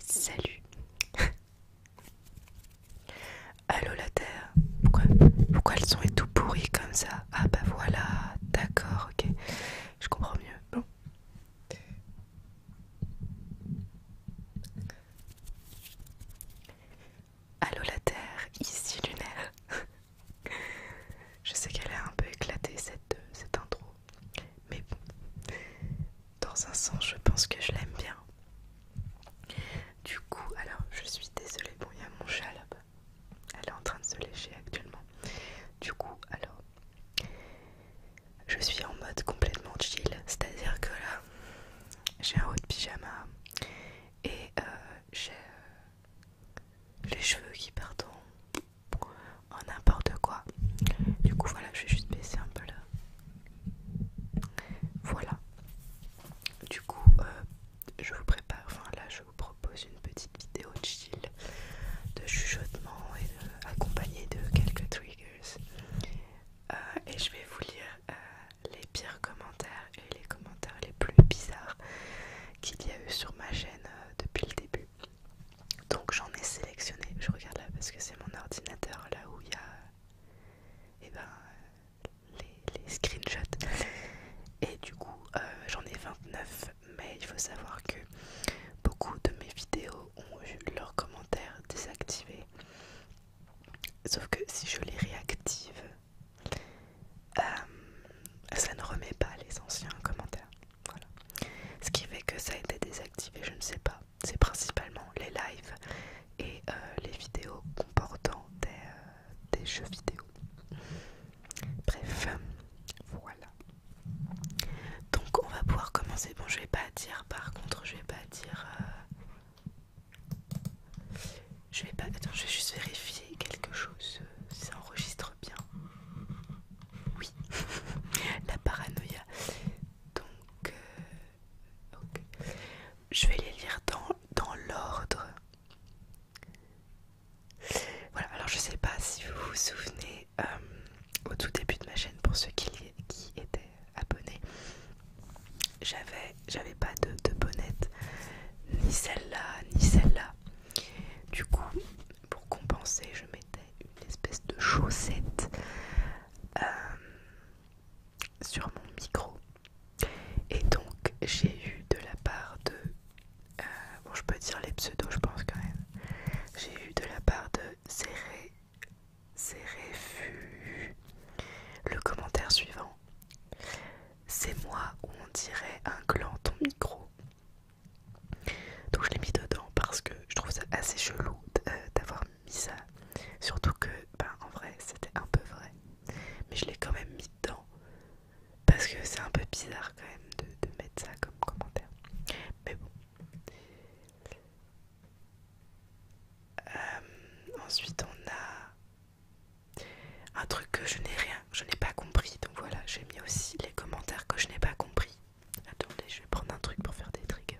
Salut Allô la Terre pourquoi, pourquoi le son est tout pourri comme ça Ah bah voilà, d'accord, ok, je comprends mieux. Bon. Allô la Terre, ici Lunaire. Je sais qu'elle a un peu éclaté cette, cette intro, mais bon, dans un sens, je pense que je l'aime bien. Du coup, alors je suis désolée, bon, il y a mon chat là-bas, elle est en train de se lécher actuellement. Du coup, alors, je suis en mode complètement chill, c'est à dire que là, j'ai un haut de pyjama et euh, j'ai euh, les cheveux qui partent en n'importe quoi. Du coup, voilà, je vais juste baisser un peu là. Voilà. Du coup, euh, je vous prépare, enfin là, je vous propose une petite vidéo de chill, de chuchotement et accompagnée de quelques triggers. Euh, et je vais vous lire euh, les pires commentaires et les commentaires les plus bizarres qu'il y a eu sur ma chaîne euh, depuis le début. Donc j'en ai sélectionné, je regarde là parce que c'est mon ordinateur là où il y a eh ben, les, screenshots. Et du coup j'en ai 29 mais il faut savoir que beaucoup de mes vidéos ont eu leurs commentaires désactivés Sauf que si je les réactive, euh, ça ne remet pas les anciens commentaires. Voilà. Ce qui fait que ça a été désactivé, je ne sais pas. C'est principalement les lives et euh, les vidéos comportant euh, des, jeux vidéo. Bref, voilà. Donc on va pouvoir commencer. Bon, je vais pas dire, par contre, je vais pas dire... Je vais pas. Attends, je vais juste vérifier quelque chose. Si ça enregistre bien. Oui. La paranoïa. Donc. Euh, je vais les lire dans, dans l'ordre. Voilà, alors je sais pas si vous vous souvenez euh, au tout début de ma chaîne, pour ceux qui, qui étaient abonnés, j'avais j'avais pas de, bonnet ni celle-là, ni celle-là. Du coup, pour compenser, je mettais une espèce de chaussette euh, sur mon micro. Et donc, j'ai eu de la part de... Euh, bon, je peux dire les pseudos, je pense quand même. J'ai eu de la part de serré c'est réfu. Le commentaire suivant. C'est moi où on dirait un gland ton micro. Donc je l'ai mis dedans parce que je trouve ça assez chelou euh, d'avoir mis ça. Surtout que, ben en vrai, c'était un peu vrai. Mais je l'ai quand même mis dedans. Parce que c'est un peu bizarre quand même de mettre ça comme commentaire. Mais bon. Euh, ensuite on a un truc que je n'ai rien, je n'ai pas compris. Donc voilà, j'ai mis aussi les commentaires que je n'ai pas compris. Attendez, je vais prendre un truc pour faire des triggers.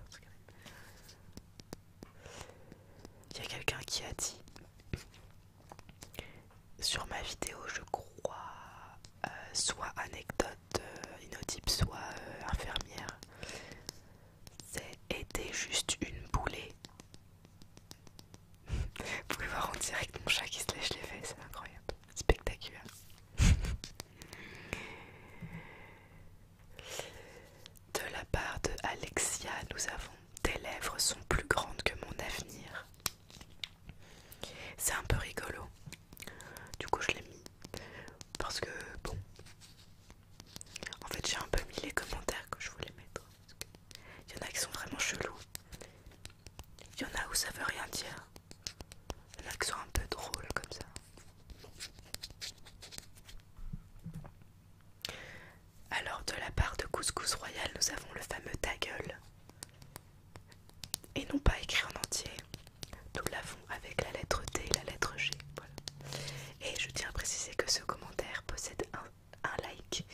Il y a quelqu'un qui a dit sur ma vidéo, je crois, euh, soit anecdote euh, inotype soit infirmière. C'était juste une boulée. Vous pouvez voir en direct mon chat qui se lèche les fesses, c'est incroyable, spectaculaire. de la part de Alexia, nous avons tes lèvres sont plus grandes que mon avenir. C'est un peu rigolo. Du coup, je l'ai mis parce que bon, en fait, j'ai un peu mis les commentaires que je voulais mettre. Il y en a qui sont vraiment chelous. Il y en a où ça veut rien dire. Il y en a qui sont un peu drôles comme ça. Alors, de la part de Couscous Royal, nous avons le fameux ta gueule. Et non pas écrit en entier, nous l'avons avec la lettre D et la lettre G. Et je tiens à préciser que ce commentaire possède un, like.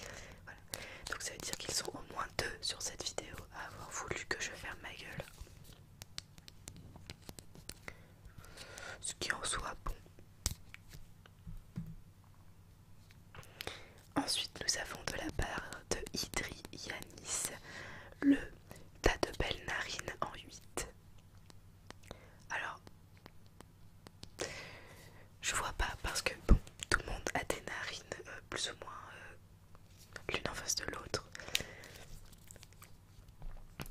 Donc ça veut dire qu'ils sont au moins deux sur cette vidéo à avoir voulu que je ferme ma gueule. Ce qui en soit bon. Ensuite, nous avons de la part de Idri Yanis le tas de belles narines en 8. Alors, je vois pas parce que bon, tout le monde a des narines euh, plus ou moins euh, l'une en face de l'autre.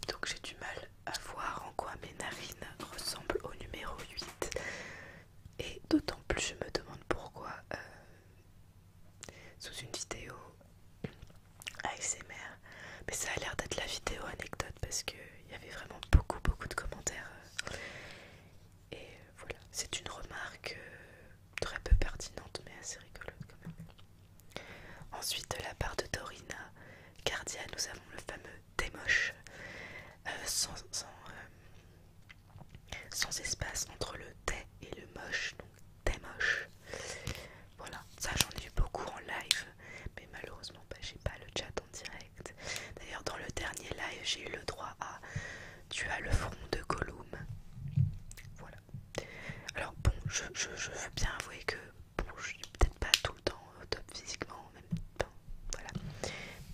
Donc j'ai du mal à voir en quoi mes narines ressemblent au numéro 8. Et d'autant plus je me demande pourquoi euh, sous une vidéo ASMR. Mais ça a l'air d'être la vidéo anecdote parce qu'il y avait vraiment beaucoup beaucoup de commentaires. Euh, et voilà, c'est une remarque euh, très peu pertinente mais assez rigolote quand même. Ensuite de la part de Dorina Cardia, nous avons le fameux démoche euh, sans, espace entre le thé et le moche, donc démoche. Voilà, ça j'en ai eu beaucoup en live, mais malheureusement pas bah, j'ai pas le chat en direct. D'ailleurs dans le dernier live j'ai eu le droit à tu as le front de Gollum. Voilà. Alors bon, je, veux bien avouer que bon, je suis peut-être pas tout le temps au euh, top physiquement, même temps, voilà.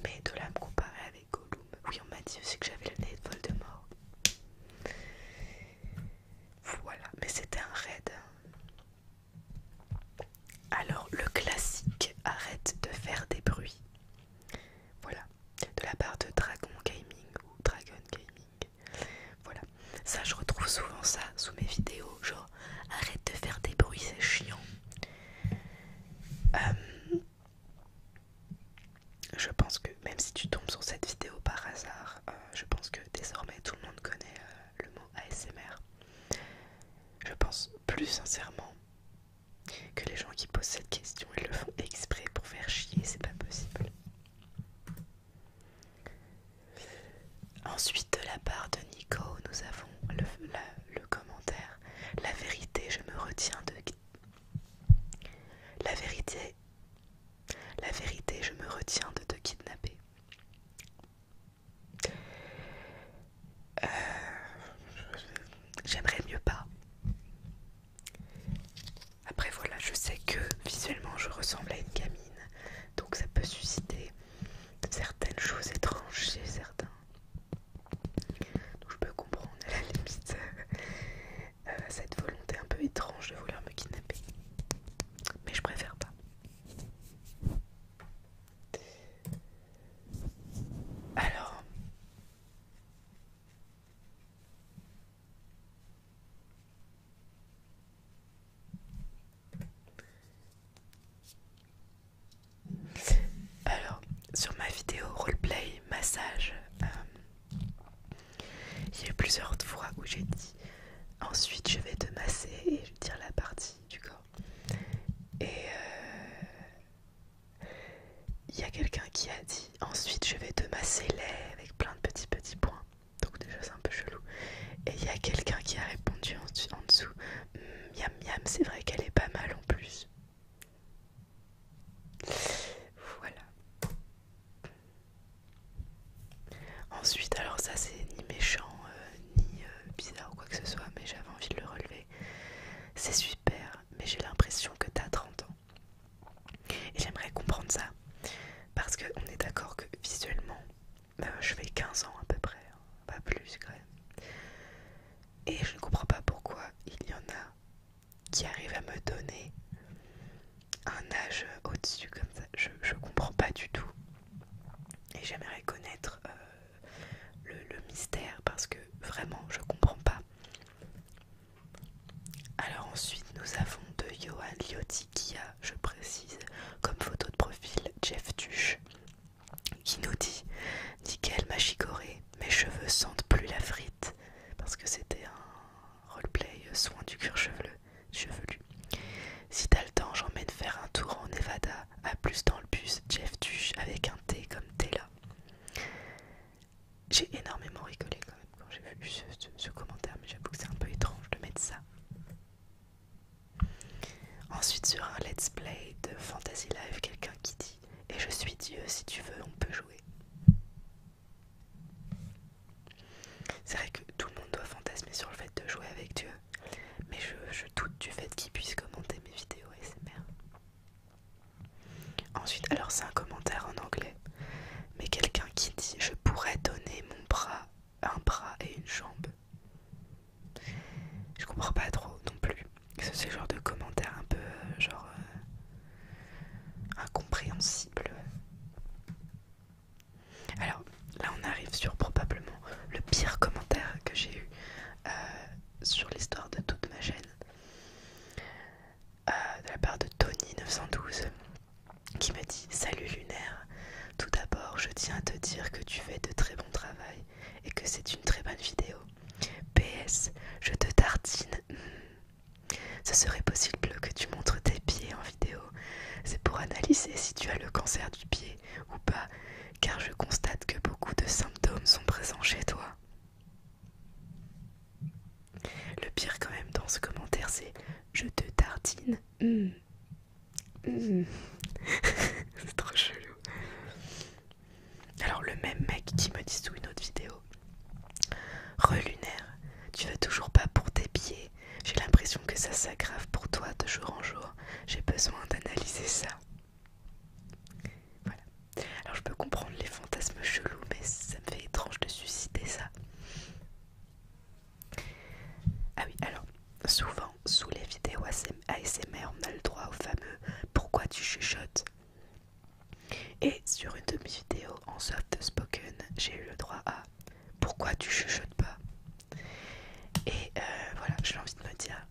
Mais de là me comparer avec Gollum, oui on m'a dit aussi que j'avais le nez de Voldemort. Voilà, mais c'était un raid. Hein. Alors le classique arrête de faire des bruits. Voilà, de la part de Dragon Gaming ou Dragon Gaming. Voilà, ça je retrouve souvent ça sous mes vidéos, genre arrête de faire des bruits, c'est chiant. Euh, je pense que même si tu tombes sur cette vidéo par hasard, euh, je pense que désormais tout le monde connaît euh, le mot ASMR. Je pense plus sincèrement que les gens qui posent cette question, ils le font exprès pour faire chier, c'est pas possible. Ensuite, de la part de Nico, nous avons le, commentaire. La vérité, je me retiens de... La vérité... La vérité, je me retiens de te kidnapper. Euh, j'aimerais mieux pas. Après voilà, je sais que visuellement je ressemble à une gamine, donc ça peut susciter certaines choses étranges chez certains. Donc je peux comprendre à la limite euh, euh, cette volonté un peu étrange de vouloir me kidnapper. Mais je préfère pas. Alors, alors sur ma vidéo roleplay massage, euh, il y a plusieurs fois où j'ai dit Ensuite, je vais te masser et je dire la partie du corps. Et euh, il y a quelqu'un qui a dit Ensuite, je vais te masser les avec plein de petits petits points. Donc, déjà, c'est un peu chelou. Et il y a quelqu'un qui a répondu en dessous Miam hum, miam, c'est vrai qu'elle est pas mal en plus. Voilà. Ensuite, alors ça c'est ni méchant, euh, ni euh, bizarre ou quoi que ce soit, mais j'avais envie de le relever. C'est super, mais j'ai l'impression que t'as 30 ans. Et j'aimerais comprendre ça, parce qu'on est d'accord que visuellement, bah, je fais 15 ans à peu près, hein, pas plus quand même. Et je ne comprends pas pourquoi il y en a qui arrivent à me donner un âge au-dessus comme ça. Je, ne comprends pas du tout. Et j'aimerais connaître euh, le, mystère parce que vraiment je comprends pas. Alors ensuite nous avons de Johan Liotti qui a, je précise, comme photo de profil Jeff Tuche qui nous dit Nickel ma chicorée, mes cheveux sentent plus la frite parce que c'était un roleplay euh, soin du cuir chevelu." Chevelu. Si t'as le temps, j'emmène faire un tour en Nevada, à plus dans le bus, Jeff Tuche avec un thé comme Tella. J'ai énormément rigolé quand même quand j'ai vu ce, commentaire, mais j'avoue que c'est un peu étrange de mettre ça. Ensuite, sur un let's play de Fantasy Live, quelqu'un qui dit Et je suis Dieu, si tu veux, on peut jouer. C'est vrai que tout le monde doit fantasmer sur le fait de jouer avec Dieu, mais je, doute du fait qu'il puisse commenter mes vidéos SMR. Ensuite, alors c'est un commentaire en anglais, mais quelqu'un qui dit Je pourrais donner mon bras, un bras et une jambe. Je comprends pas trop non plus. C'est ce genre de commentaire un peu euh, genre euh, incompréhensible. Alors là on arrive sur probablement le pire commentaire que j'ai eu euh, sur l'histoire de toute ma chaîne euh, de la part de Tony912 qui m'a dit Salut Lunaire, tout d'abord je tiens à te dire que tu fais de très bon travail et que c'est une très bonne vidéo. PS, je te tartine. Hmm. Ce serait possible que tu montres tes pieds en vidéo. C'est pour analyser si tu as le cancer du pied ou pas, car je constate que beaucoup de symptômes sont présents chez toi. Le pire quand même dans ce commentaire, c'est je te tardine. Hum. Hum. c'est trop chelou. Alors le même mec qui me dit sous une autre vidéo. Relunaire, tu vas toujours pas pour tes pieds j'ai l'impression que ça s'aggrave pour toi de jour en jour. J'ai besoin d'analyser ça. Voilà. Alors je peux comprendre les fantasmes chelous, mais ça me fait étrange de susciter ça. Ah oui, alors, souvent, sous les vidéos ASMR, on a le droit au fameux « Pourquoi tu chuchotes ?» Et sur une de mes vidéos en soft spoken, j'ai eu le droit à « Pourquoi tu chuchotes pas ?» Et euh, voilà, j'ai envie de me dire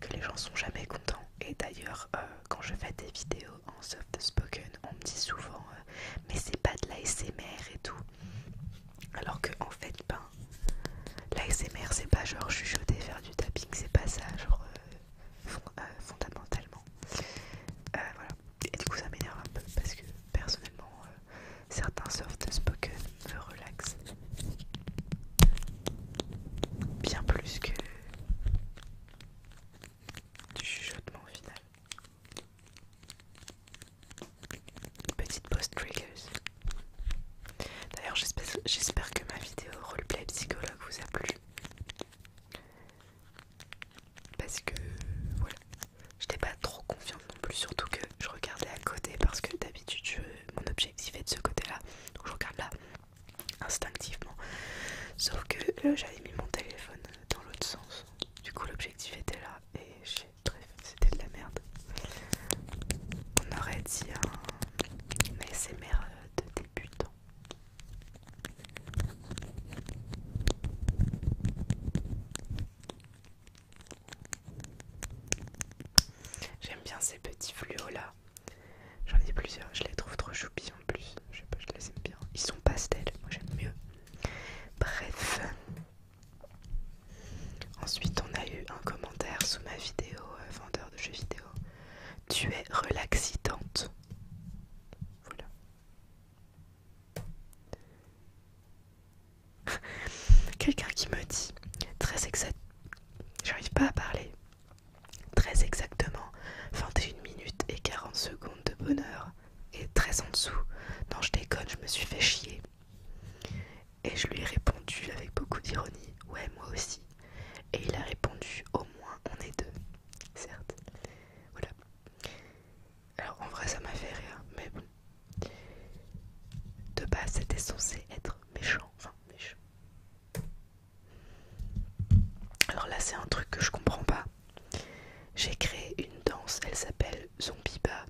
que les gens sont jamais contents. Et d'ailleurs, euh, quand je fais des vidéos en soft spoken, on me dit souvent euh, mais c'est pas de l'ASMR et tout. Alors que en fait, ben, l'ASMR c'est pas genre chuchoter, faire du tapping, c'est pas ça, genre fondamentalement. voilà. Et du coup, ça m'énerve un peu parce que personnellement, certains soft spoken me relaxent bien plus que du chuchotement au final. Petite pause triggers. D'ailleurs, j'espère que ma vidéo roleplay psychologue vous a plu. Parce que voilà, J'étais pas trop confiante non plus, surtout que je regardais à côté parce que d'habitude mon objectif est de ce côté-là, donc je regarde là instinctivement. Sauf que j'avais mis mon téléphone dans l'autre sens, du coup l'objectif était là et c'était de la merde. On aurait dit un ASMR euh, de débutant. J'aime bien ces petits fluos là. J'en ai plusieurs, je les trouve trop choupis en plus. Je sais pas, je les aime bien. Ils sont pastels, moi j'aime mieux. Bref. Ensuite, on a eu un commentaire sous ma vidéo euh, vendeur de jeux vidéo. Tu es relaxitante. Voilà. Quelqu'un qui me dit très exactement, j'arrive pas à parler, très exactement 21 minutes et 40 secondes de bonheur et très en dessous. Non, je déconne, je me suis fait chier. Et je lui ai répondu avec beaucoup d'ironie, ouais, moi aussi. Et il a répondu, au moins on est deux, certes. Voilà. Alors en vrai ça m'a fait rire, mais bon. De base c'était censé être méchant, enfin méchant. Alors là c'est un truc que je comprends pas. J'ai créé une danse, elle s'appelle Zombie Bas.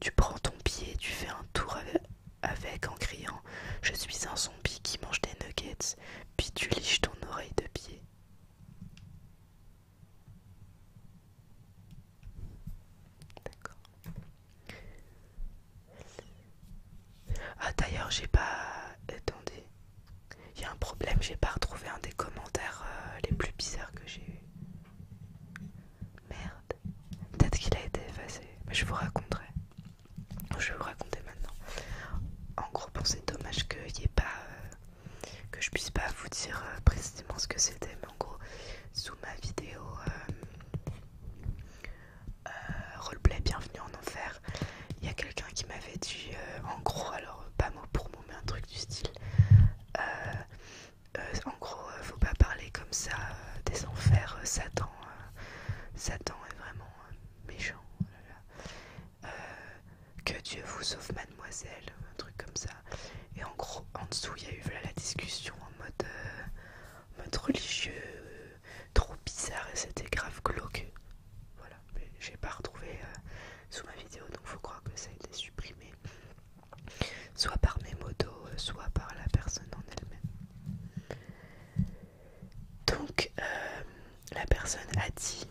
Tu prends ton pied, tu fais un tour avec en criant Je suis un zombie qui mange des nuggets, puis tu liches ton oreille de pied. D'accord. Ah d'ailleurs j'ai pas... Attendez. Il y a un problème, j'ai pas retrouvé un des commentaires euh, les plus bizarres que j'ai eu. Merde. Peut-être qu'il a été effacé, mais je vous raconterai. Je vais vous raconter maintenant. En gros, c'est dommage que, y ait pas, euh, que je puisse pas vous dire euh, précisément ce que c'était, en gros sous ma vidéo euh, euh, roleplay bienvenue en enfer il y a quelqu'un qui m'avait dit euh, en gros alors pas mot pour mot mais un truc du style en gros faut pas parler comme ça des enfers Satan Satan est vraiment méchant oh que Dieu vous sauve mademoiselle un truc comme ça et en gros, en dessous, il y a eu la discussion en mode, euh, religieux, euh, trop bizarre et c'était grave glauque. Voilà, mais j'ai pas retrouvé euh, sous ma vidéo, donc faut croire que ça a été supprimé. Soit par mes motos, soit par la personne en elle-même. Donc, la personne a dit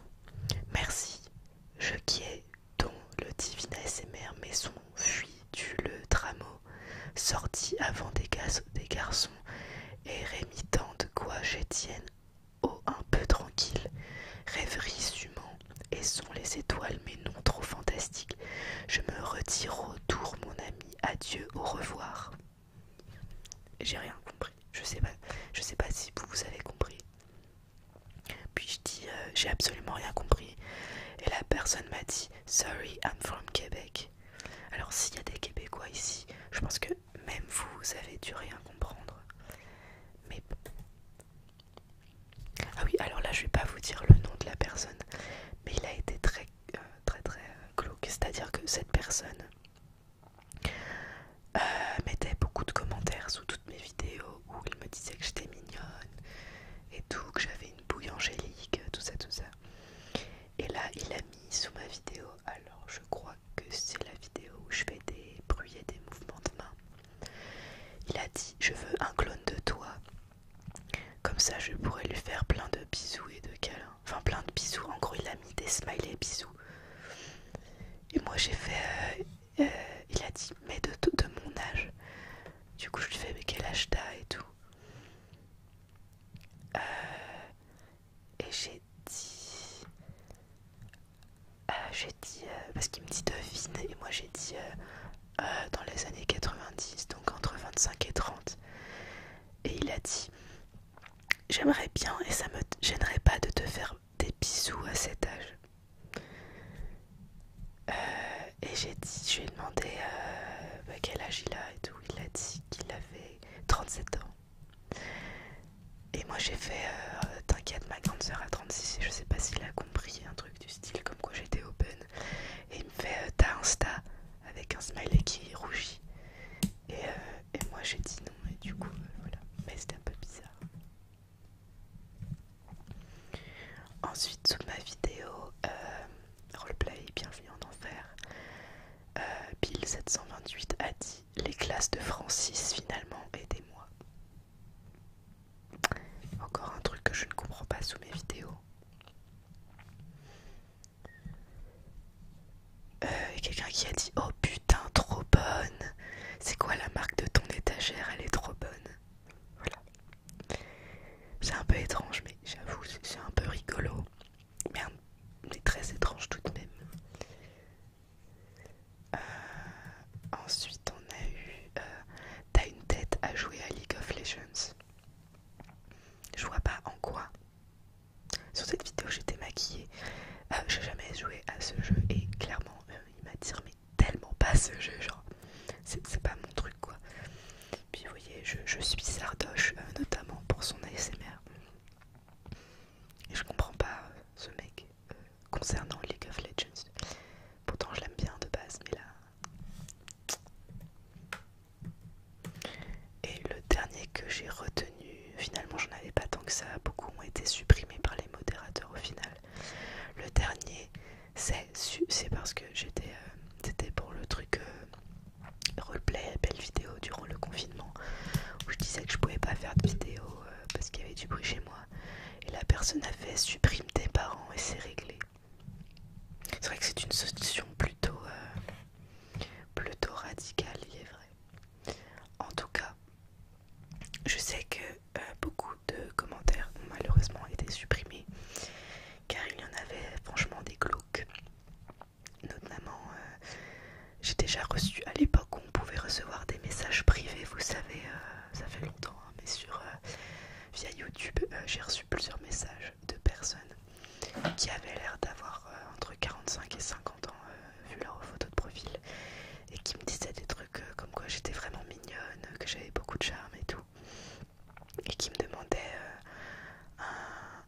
Merci, je, qui dont le divin mais son fuit du le Drameau, sorti avant des, des garçons, et de de quoi tienne oh un peu tranquille, rêverie sumant, et sont les étoiles mais non trop fantastiques. Je me retire au tour, mon ami, adieu, au revoir. J'ai rien compris, je sais pas, je sais pas si vous, vous avez compris. Puis je dis euh, j'ai absolument rien compris et la personne m'a dit sorry I'm from Québec. Alors s'il y a des Québécois ici, je pense que même vous, avez dû rien comprendre. Mais ah oui, alors là je vais pas vous dire le nom de la personne, mais il a été très euh, très très euh, c'est-à-dire que cette personne mettait beaucoup de commentaires sous toutes mes vidéos où il me disait que j'étais mignonne et tout, que j'avais une bouille angélique, tout ça, tout ça. Et là, il a mis sous ma vidéo, alors je crois que c'est la vidéo où je fais des bruits et des mouvements de main. Il a dit Je veux un clone de toi, comme ça je pourrais lui faire plein de bisous et de câlins. Enfin, plein de bisous, en gros, il a mis des smileys bisous. Et moi j'ai fait euh, euh, il a dit mais de, mon âge du coup je lui fais mais quel âge t'as et tout euh, et j'ai dit euh, j'ai dit parce qu'il me dit devine et moi j'ai dit dans les années 90 donc entre 25 et 30 et il a dit j'aimerais bien et ça me gênerait pas de te faire des bisous à cet âge euh, et j'ai dit, je lui ai demandé euh, bah, quel âge il a et tout. Il a dit qu'il avait 37 ans. Et moi j'ai fait euh, T'inquiète, ma grande soeur a 36 et je sais pas s'il a compris un truc du style comme quoi j'étais open. Et il me fait T'as Insta avec un smiley qui rougit. Et, moi j'ai dit non, et du coup voilà. Mais c'était un peu bizarre. Ensuite, sous ma vidéo euh, roleplay, bienvenue en enfer, euh, Bill 728 a dit les classes de Francis finalement aidez-moi. Encore un truc que je ne comprends pas sous mes vidéos. Euh, quelqu'un qui a dit oh putain trop bonne. C'est quoi la marque de ton étagère Elle est trop bonne. Voilà. C'est un peu étrange, mais j'avoue, c'est un peu rigolo. Mais très étrange tout de même. Euh, ensuite, on a eu euh, T'as une tête à jouer à League of Legends. Je vois pas en quoi. Sur cette vidéo, j'étais maquillée. Euh, j'ai jamais joué à ce jeu et clairement, il m'a mais tellement pas ce jeu, genre, c'est pas mon truc quoi. Puis vous voyez, je, je suis Sardoche, euh, notamment pour son ASMR. Et je comprends pas euh, ce mec euh, concernant League of Legends. Pourtant, je l'aime bien de base, mais là. Et le dernier que j'ai retenu, finalement, j'en avais pas tant que ça. Beaucoup ont été supprimés par les modérateurs au final. Le dernier, c'est parce que j'étais euh, pour le truc euh, roleplay, belle vidéo durant le confinement où je disais que je pouvais pas faire de vidéo euh, parce qu'il y avait du bruit chez moi et la personne a fait supprime tes parents et c'est réglé. C'est vrai que c'est une solution plutôt, plutôt radicale, il est vrai. En tout cas, je sais que euh, beaucoup de commentaires ont malheureusement été supprimés car il y en avait franchement des glauques. Notamment, euh, j'ai déjà reçu à l'époque où on pouvait recevoir des messages privés, vous savez, euh, ça fait longtemps, hein, mais sur via YouTube, j'ai reçu plusieurs messages de personnes qui avaient l'air d'avoir entre 45 et 50 ans vu leur photo de profil et qui me disaient des trucs comme quoi j'étais vraiment mignonne, que j'avais beaucoup de charme et tout et qui me demandait euh,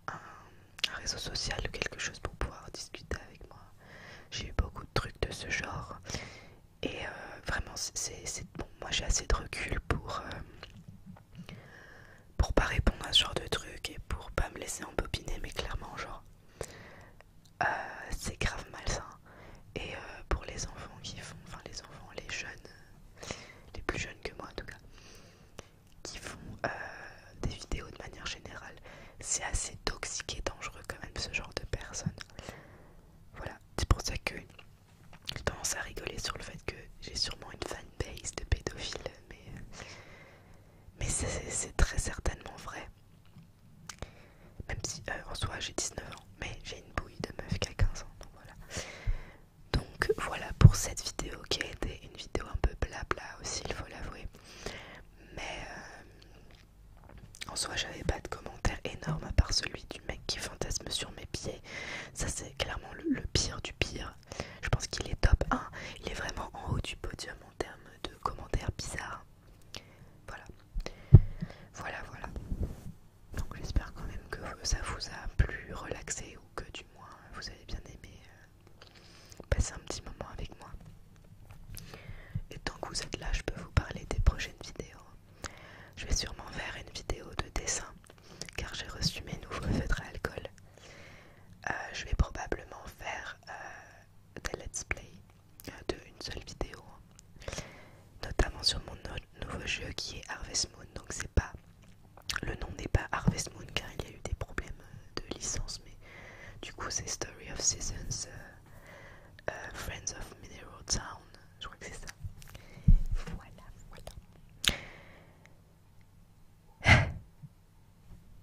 un, réseau social ou quelque chose pour pouvoir discuter avec moi. J'ai eu beaucoup de trucs de ce genre et euh, vraiment c'est Moi j'ai assez de recul pour euh, pour pas répondre à ce genre de truc et pour pas me laisser embobiner, mais clairement genre c'est grave malsain. Et euh, pour les enfants qui font, enfin les enfants, les jeunes, euh, les plus jeunes que moi en tout cas, qui font euh, des vidéos de manière générale, c'est assez toxique et dangereux quand même ce genre de personnes. Voilà, c'est pour ça que je tendance à rigoler sur le fait que j'ai sûrement une fanbase de pédophiles, mais, mais c'est très certainement vrai. Même si euh, en soi j'ai 19 ans, mais j'ai une bouille de meuf qui a 15 ans, donc voilà. Donc voilà pour cette vidéo qui a été une vidéo un peu blabla aussi, il faut l'avouer. Mais euh, en soi j'avais pas de commentaires énormes à part celui du mec qui fantasme sur mes pieds. Ça c'est clairement le, le pire du pire. Je pense qu'il est top 1, il est vraiment en haut du podium en termes de commentaires bizarres. Voilà, voilà, voilà. Donc j'espère quand même que ça vous a plus relaxé ou que du moins vous avez bien aimé euh, passer un petit moment avec moi. Et tant que vous êtes là, je peux vous parler des prochaines vidéos. Je vais sûrement faire une vidéo de dessin car j'ai reçu mes nouveaux feutres à alcool. Euh, je vais probablement faire euh, des let's play d'une seule vidéo notamment sur mon nouveau jeu qui est Harvest Moon. Donc c'est pas le nom n'est pas Harvest Moon car il y a eu des problèmes euh, de licence, mais du coup c'est Story of Seasons, euh, euh, Friends of Mineral Town. Je crois que c'est ça. Voilà, voilà.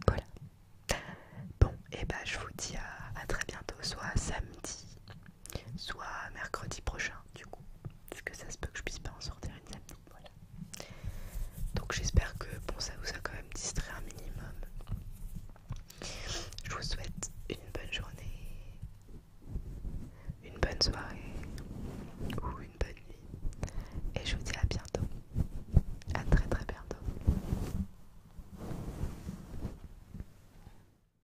voilà. Bon, et eh bah ben, je vous dis à très bientôt, soit samedi soit mercredi prochain du coup puisque que ça se peut que je puisse pas en sortir une samedi donc j'espère que bon ça vous a quand même distrait un minimum je vous souhaite une bonne journée une bonne soirée ou une bonne nuit et je vous dis à bientôt à très très bientôt